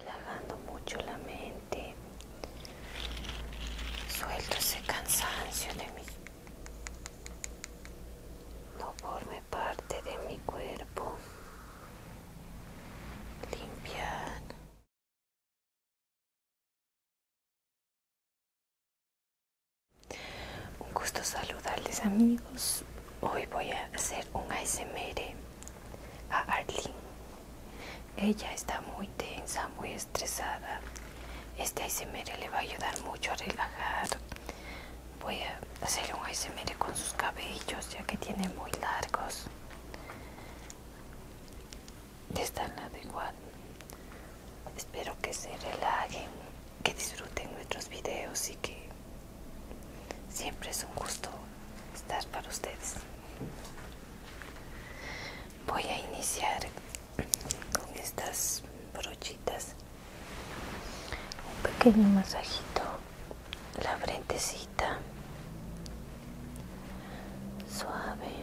relajando mucho la mente suelto ese cansancio de mí no forme parte de mi cuerpo limpiar un gusto saludarles amigos hoy voy a hacer un ASMR a Arlene. Ella está muy tensa, muy estresada. Este ASMR le va a ayudar mucho a relajar. Voy a hacer un ASMR con sus cabellos, ya que tiene muy largos. De adecuados Espero que se relajen, que disfruten nuestros videos y que siempre es un gusto estar para ustedes voy a iniciar con estas brochitas un pequeño masajito la frentecita suave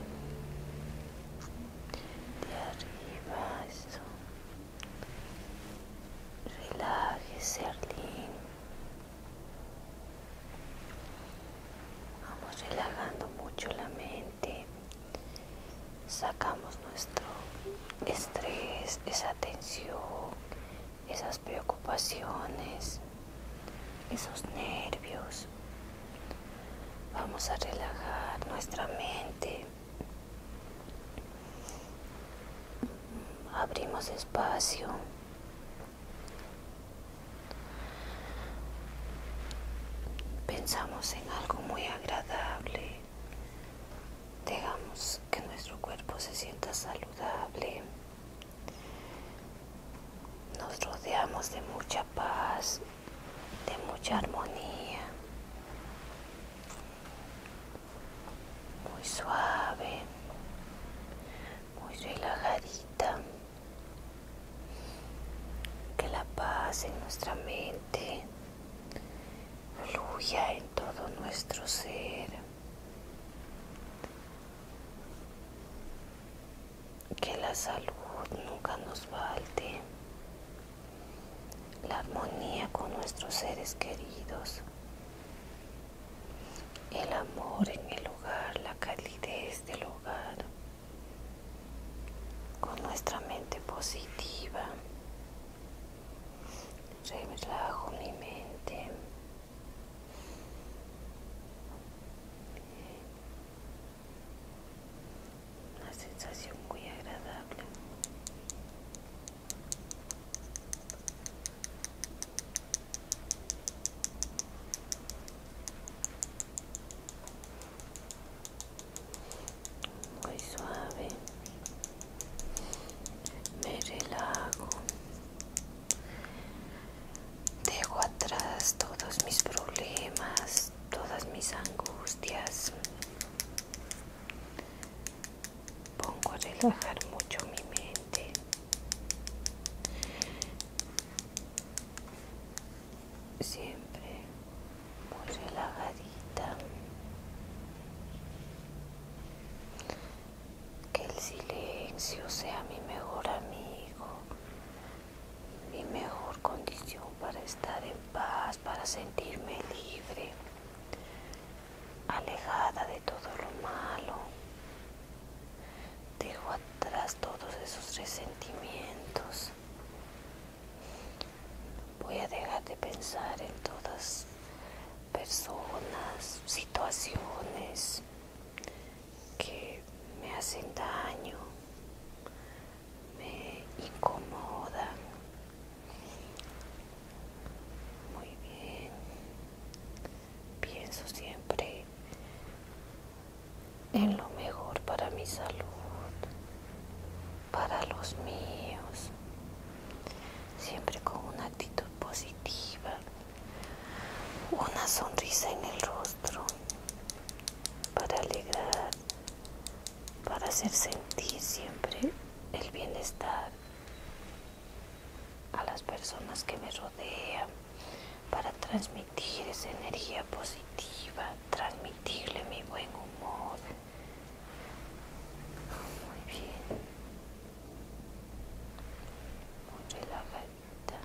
de arriba eso relájese Arlene Vamos relajando mucho la mente, sacamos nuestro estrés, esa tensión, esas preocupaciones, esos nervios. Vamos a relajar nuestra mente. Abrimos espacio Pensamos en algo muy agradable. Dejamos que nuestro cuerpo se sienta saludable. Nos rodeamos de mucha paz, de mucha armonía. Muy suave, muy relajadita que la paz en nuestra mente fluya en todo nuestro ser que la salud nunca nos falte la armonía con nuestros seres queridos el amor en el hogar, la calidez del hogar, con nuestra mente positiva. Relajo mi mente. Una sensación muy agradable muy suave me relajo dejo atrás todos mis problemas todas mis angustias pongo a relajar mucho mi mente siempre muy relajadita que el silencio sea mi mejor amigo mi mejor condición para estar en paz para sentirme libre alejada de todo lo malo. Dejo atrás todos esos resentimientos. Voy a dejar de pensar en todas personas, situaciones que me hacen daño, me incomodan. Muy bien pienso siempre en lo mejor para mi salud, para los míos, siempre con una actitud positiva, una sonrisa en el rostro, para alegrar, para hacer sentir siempre el bienestar a las personas que me rodean para transmitir esa energía positiva, transmitirle mi buen humor. Muy bien. Muy relajadita.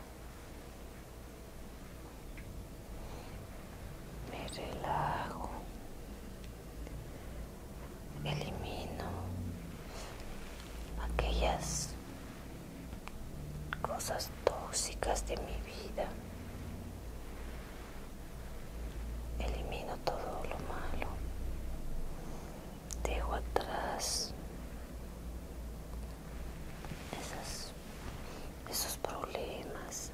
Me relajo. Elimino aquellas cosas tóxicas de mi vida. Elimino todo lo malo. Dejo atrás esos problemas.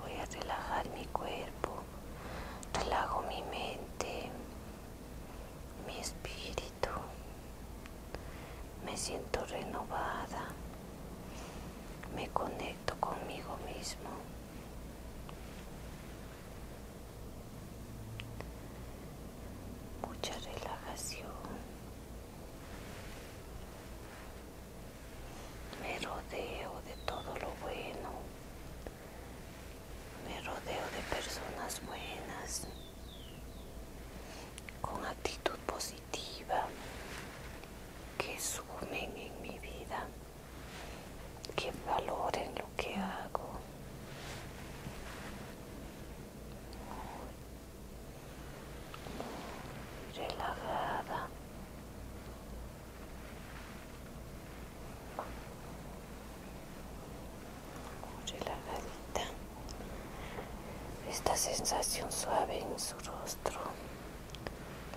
Voy a relajar mi cuerpo. Relajo mi mente, mi espíritu. Me siento renovada. Me conecto conmigo mismo. Mucha relajación. Me rodeo de todo lo bueno me rodeo de personas buenas, con actitud positiva, que sumen en mi vida, que valoren lo que hago. Muy, relajada la esta sensación suave en su rostro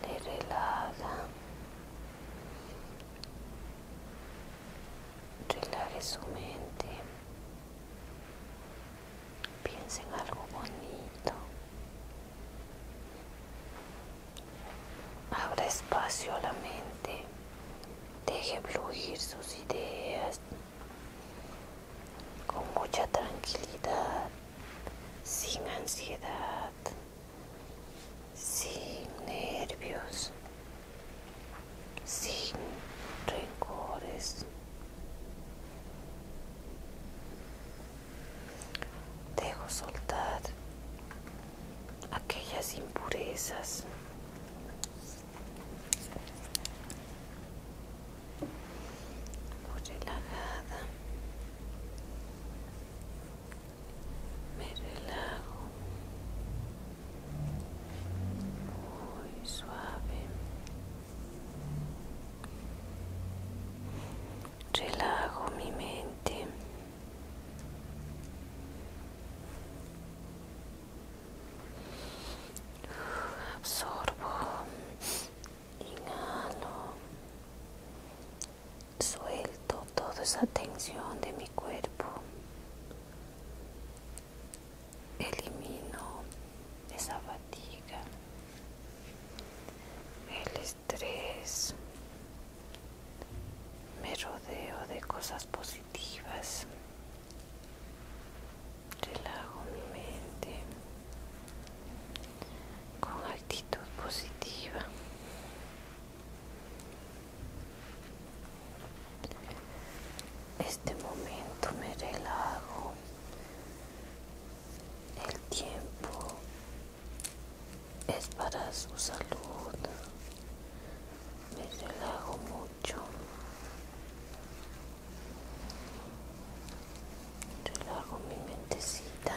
le relaja relaje su mente piensa en algo bonito abra espacio a la mente Deje fluir sus ideas con mucha tranquilidad, sin ansiedad, sin nervios, sin rencores. Dejo soltar aquellas impurezas muy relajada me relajo muy suave relajo mi mente absorbo, inhalo, suelto toda esa tensión de mi cuerpo, elimino esa fatiga, el estrés, me rodeo de cosas positivas Relajo mi mente con actitud positiva. Este momento me relajo. El tiempo es para su salud. Me relajo mucho mucho relajo mi mentecita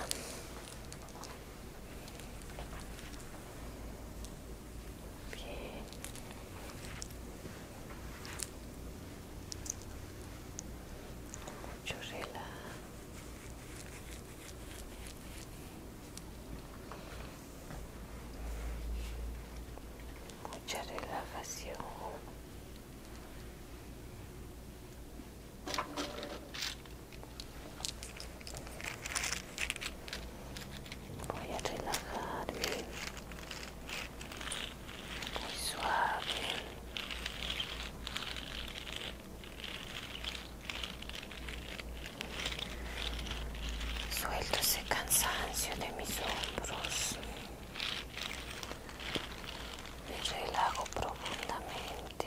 bien mucho relajo mucha relajación voy a relajarme muy suave Suelto ese cansancio de mis hombros. Me relajo profundamente.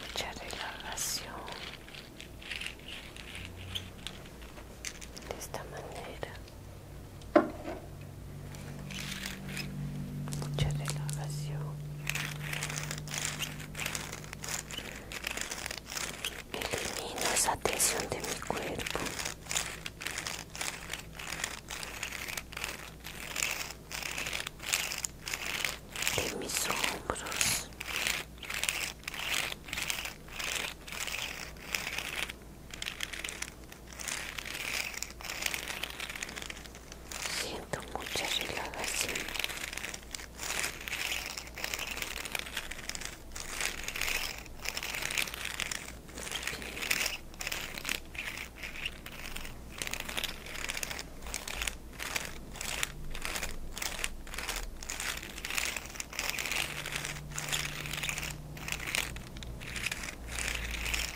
Mucha relajación. De esta manera mucha relajación elimino esa tensión de mi cuerpo de mis hombros Siento mucha relajación.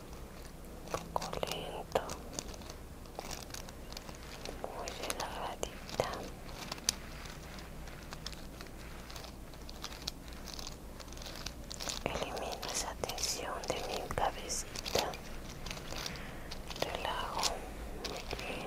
un poco lento, muy relajadita. Elimino esa tensión de mi cabecita. Relajo muy bien.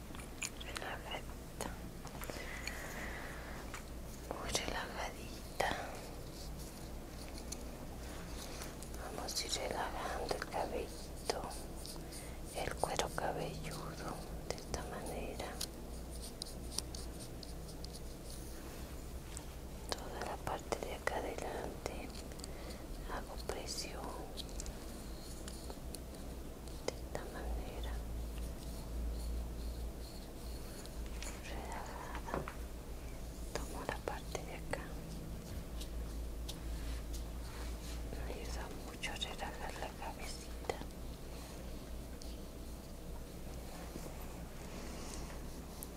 relajadita muy relajadita vamos a ir relajando el cabello, el cuero cabelludo de esta manera toda la parte de acá adelante hago presión de esta manera relajada tomo la parte de acá me ayuda mucho a relajar la cabecita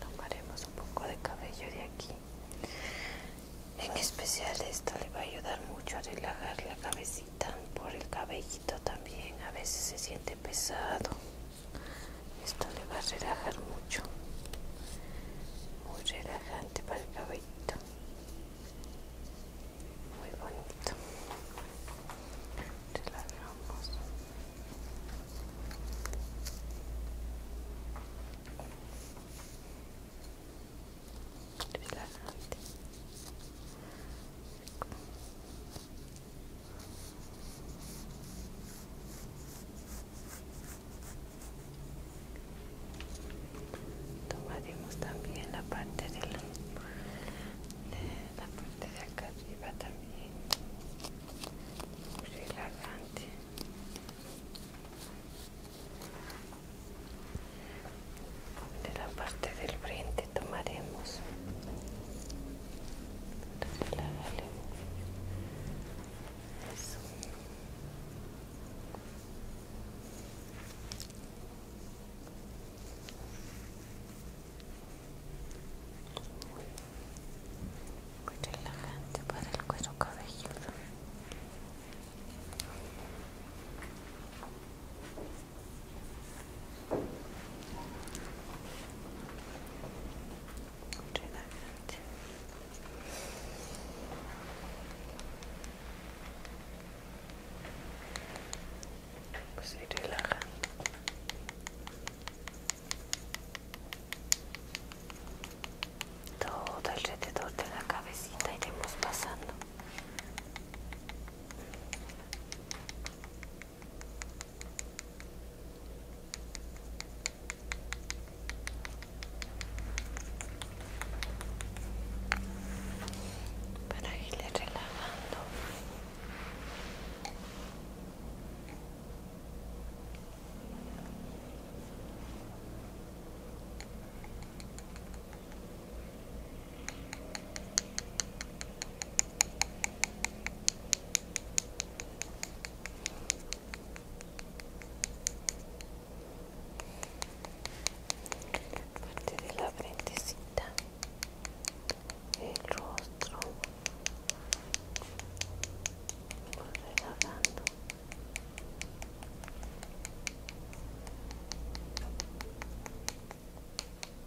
tomaremos un poco de cabello de aquí en especial esto le va a ayudar mucho a relajar la cabecita por el cabellito también a veces se siente pesado esto le va a relajar mucho muy relajante para el cabellito muy bonito relajamos tomaremos también la parte de la, parte de acá arriba también relajante de la parte del frente tomaremos Muy relajante para el cuero cabelludo. Relajante. Pues ahí relaja. Todo alrededor de la cabecita iremos pasando para irle relajando parte de la frentecita el rostro vamos relajando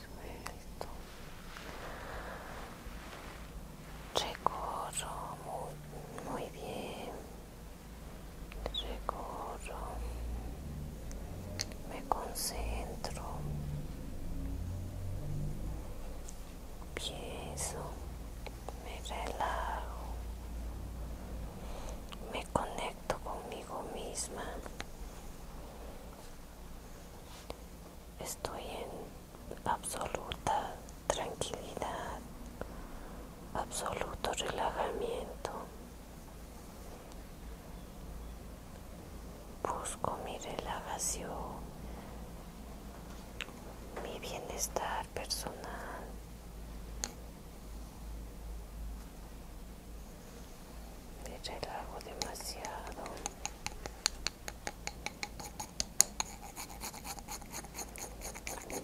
Suelto. Recorro muy, muy bien. Recorro. Me concentro. Pienso, me relajo, me conecto conmigo misma. Estoy en absoluta tranquilidad, absoluto relajamiento. Busco mi relajación mi bienestar personal. Me relajo demasiado.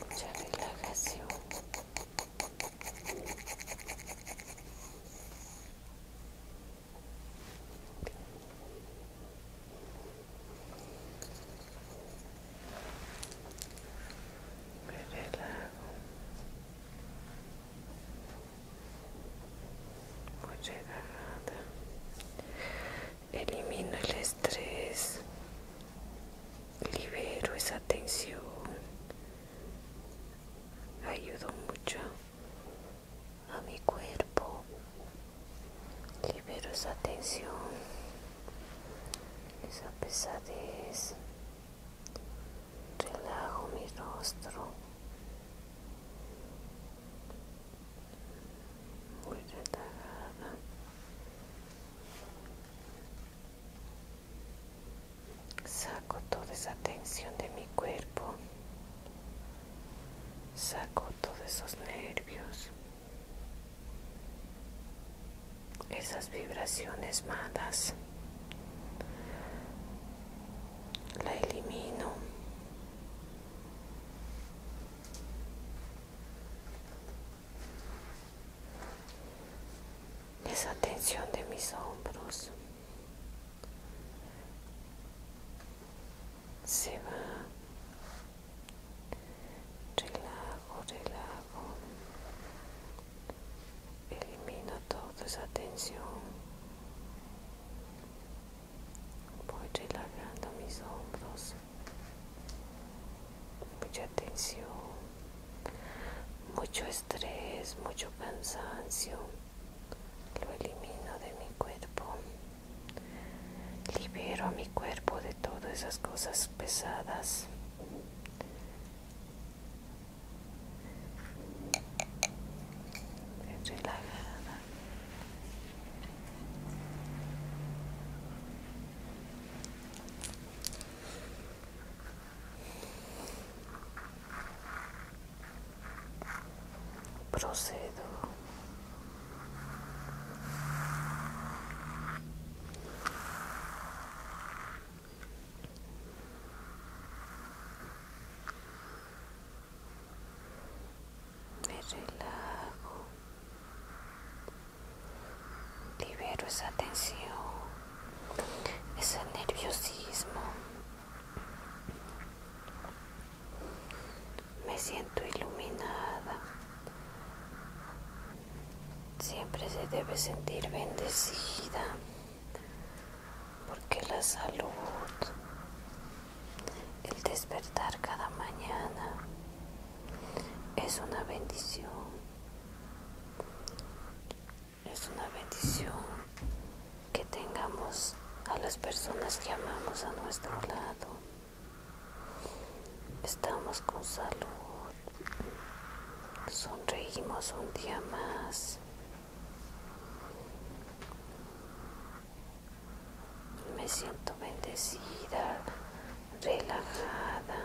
Mucha relajación me relajo elimino el estrés libero esa tensión ayudo mucho a mi cuerpo libero esa tensión, esa pesadez, relajo mi rostro, muy relajada. Saco toda esa tensión de mi cuerpo. Saco todos esos nervios esas vibraciones malas la elimino esa tensión de mis hombros se va relajo, relajo, elimino toda esa tensión, voy relajando mis hombros, mucha tensión, mucho estrés, mucho cansancio, lo elimino de mi cuerpo. Libero a mi cuerpo de todas esas cosas pesadas. Relajada. Procedo me relajo, libero esa tensión, ese nerviosismo me siento iluminada. Siempre se debe sentir bendecida porque la salud, el despertar cada mañana es una bendición. Es una bendición que tengamos a las personas que amamos a nuestro lado. Estamos con salud. Sonreímos un día más. Me siento bendecida, relajada.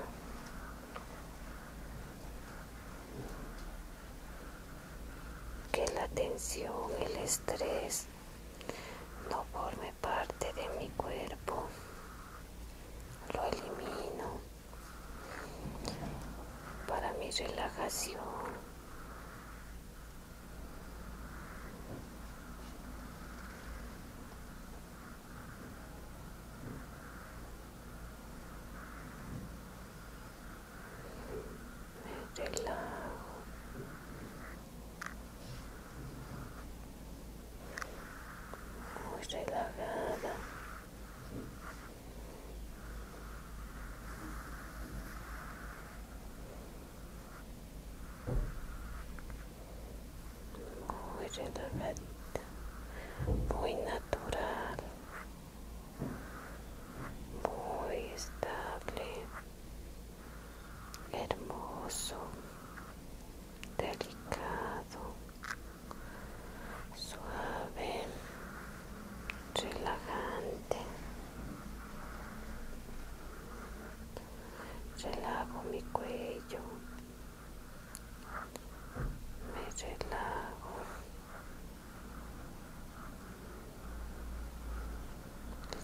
Que la tensión, el estrés no forme parte de mi cuerpo, lo elimino para mi relajación. Me relajo muy relajada muy relajada muy natural muy estable hermoso, delicado, suave, relajante. Relajo mi cuello, me relajo.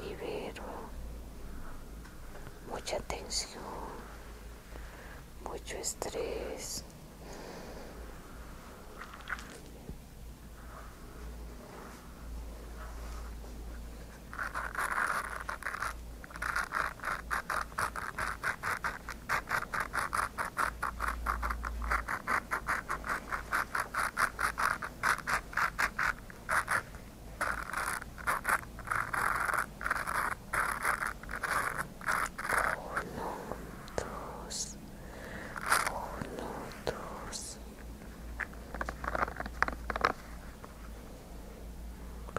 Libero mucha tensión, mucho estrés. Minutos, minutos.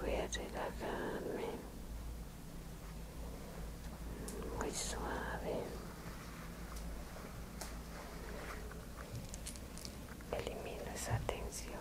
Voy a relajarme muy suave. Elimino essa tensão.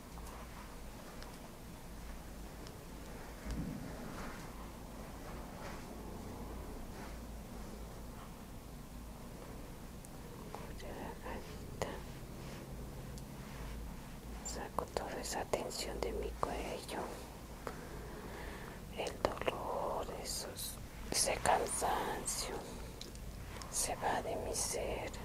saco toda esa tensión de mi cuello el dolor ese cansancio se va de mi ser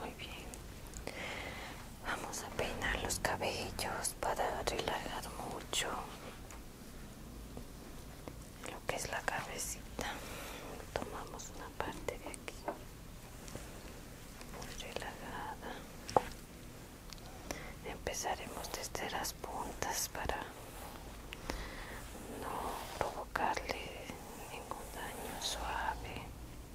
Muy bien. Vamos a peinar los cabellos para relajar mucho lo que es la cabecita. Tomamos una parte de aquí. Muy relajada. Empezaremos desde las puntas para no provocarle ningún daño suave.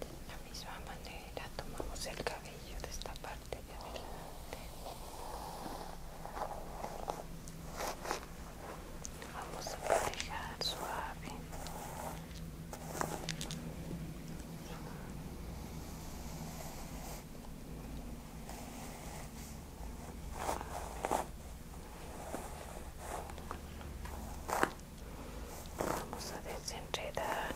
De la misma manera tomamos el cabello de esta parte de adelante. Vamos a manejar suave. Vamos a desenredar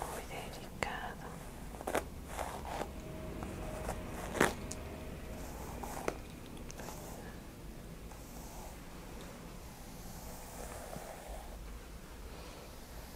muy delicado.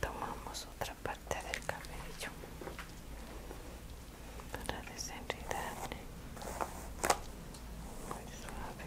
tomamos otra parte del cabello para desenredarle muy suave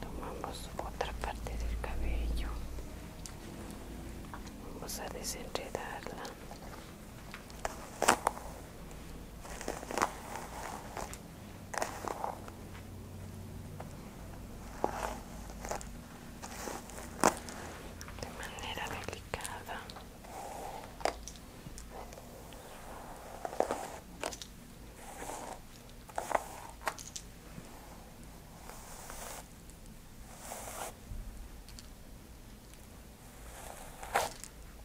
tomamos otra parte del cabello vamos a desenredarla de manera delicada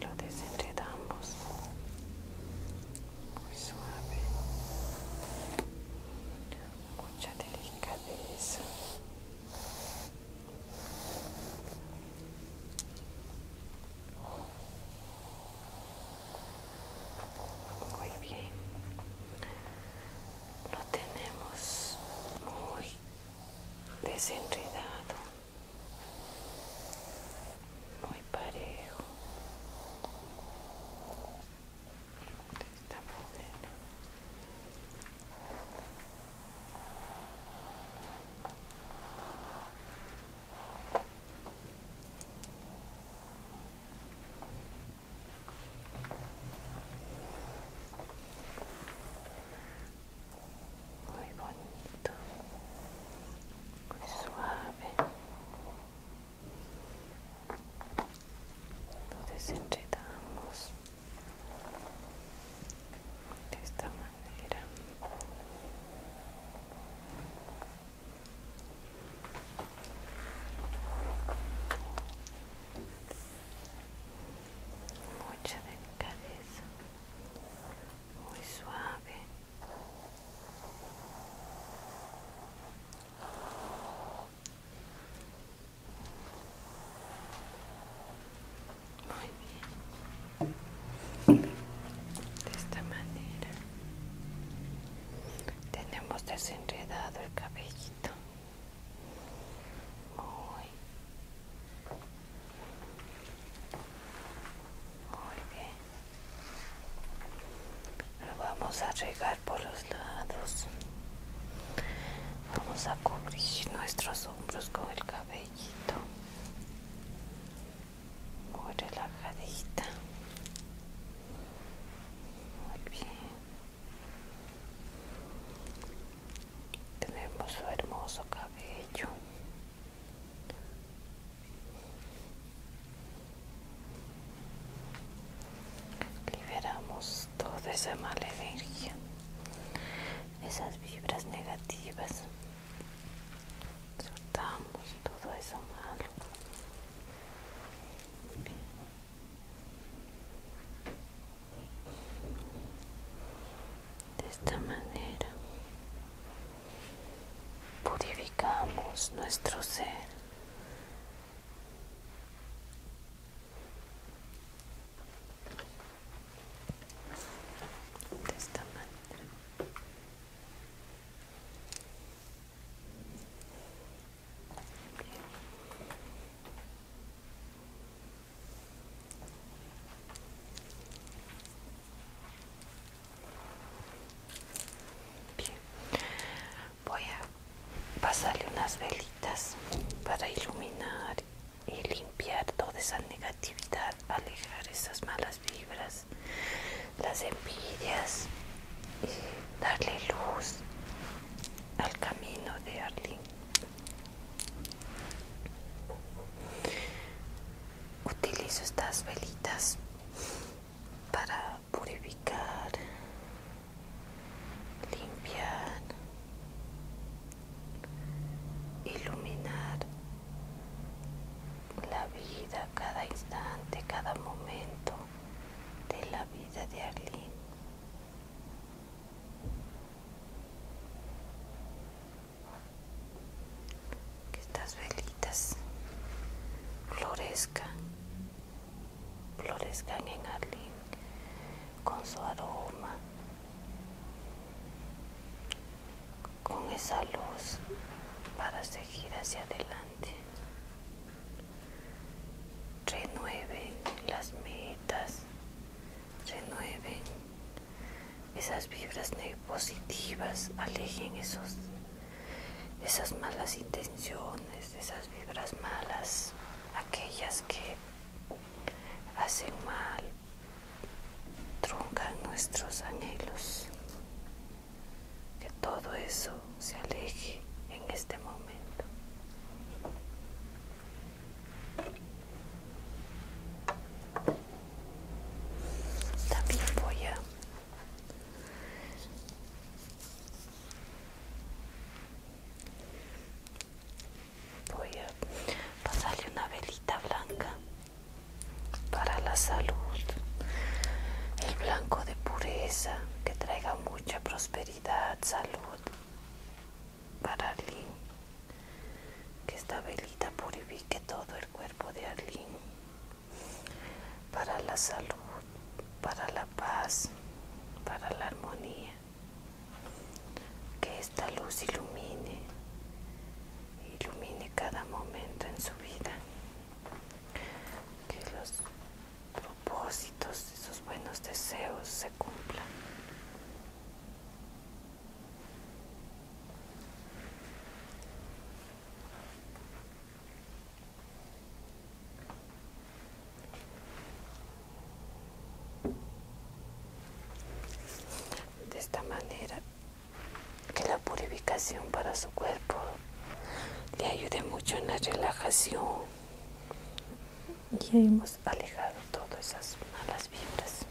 lo desenredamos muy suave mucha delicadeza muy bien lo tenemos muy desenredado muy parejo está muy bien muy bonito, muy suave. Lo desenredamos de esta manera. Mucha delicadeza, muy suave. Muy bien. De esta manera tenemos desenredado el cabellito. Muy, muy bien lo vamos a regar por los lados vamos a cubrir nuestros hombros con el cabellito muy relajadita muy bien tenemos su hermoso cabello Liberamos toda esa mala energía, esas vibras negativas. Soltamos todo eso malo. De esta manera purificamos nuestro ser. De esta manera. Bien, voy a pasarle unas velitas para iluminar y limpiar toda esa negatividad, alejar esas malas vibras, las envidias y darle luz al camino de Arlene utilizo estas velitas para purificar, limpiar, iluminar la vida, cada instante, cada momento de la vida de Arlene que estas velitas florezcan, florezcan en Arlín con su aroma, con esa luz para seguir hacia adelante. Renueven las metas, renueven esas vibras positivas, alejen esos, esas malas intenciones, esas vibras malas, aquellas que hacen mal, truncan nuestros anhelos. Que todo eso se aleje en este momento. También voy a Voy a pasarle una velita blanca para la salud, el blanco de pureza que traiga mucha prosperidad, salud para Arlene que esta velita purifique todo el cuerpo de Arlín para la salud, para la paz, para la armonía. Que esta luz ilumine, ilumine cada momento en su vida. Que los propósitos esos buenos deseos se cumplan de esta manera que la purificación para su cuerpo le ayude mucho en la relajación y hemos alejado todas esas malas vibras